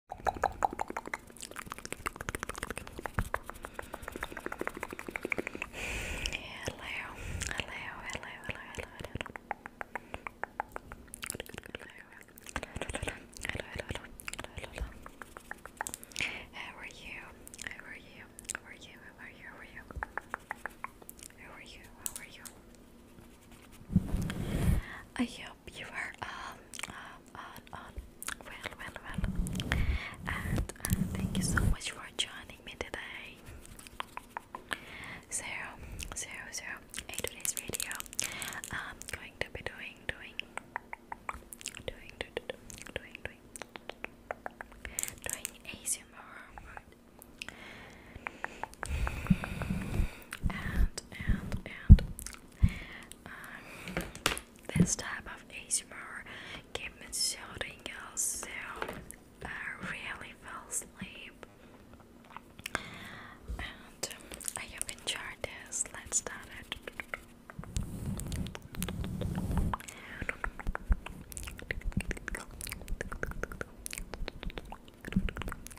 hello, hello, hello, hello, hello, hello, hello, hello, How are you? How are you? How are you? How are you? How are you? How are you? How are you? are you? you are um, um, on, um, um, well, well, well. And uh, thank you so much for joining me today. So, so, so, in today's video, i going to be doing, doing, doing, do, do, do, doing, doing, doing ASMR. And, and, and, um, this type of ASMR keep me shouting so I uh, really fell asleep. And um, I hope you enjoyed Let's start it.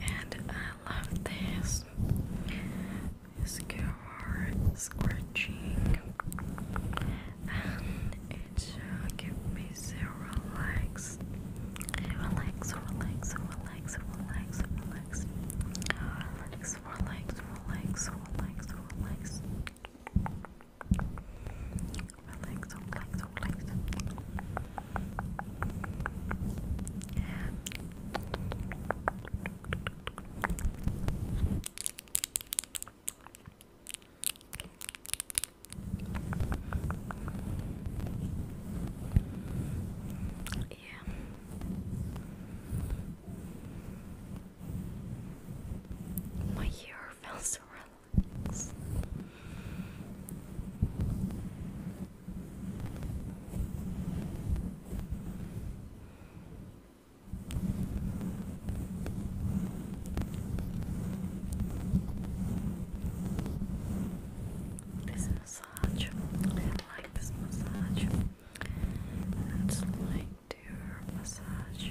And I love this. This scratching, it give me zero likes. relax, relax, relax. Relax, relax, relax, relax, relax. Relax, relax, relax. Yeah. My hair feels so relaxed. This massage, like this massage. It's like dear massage.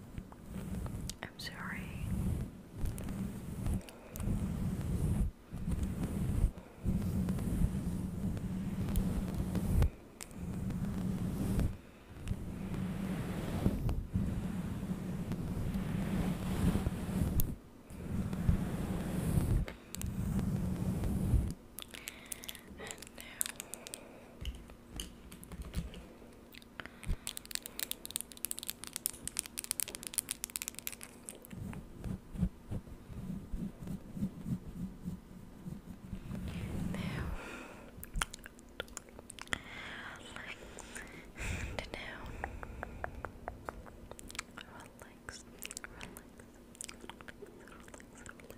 I'm sorry. And now like to relax, relax, relax,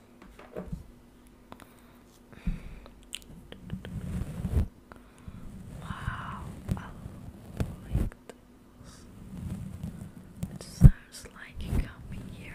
Wow, It sounds like you are coming here.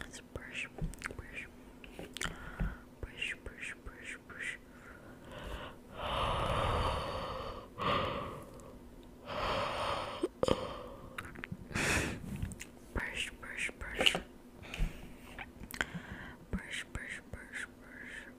Let's brush, brush, brush, brush, brush, brush. brush, brush, brush. Brush, brush, brush, brush.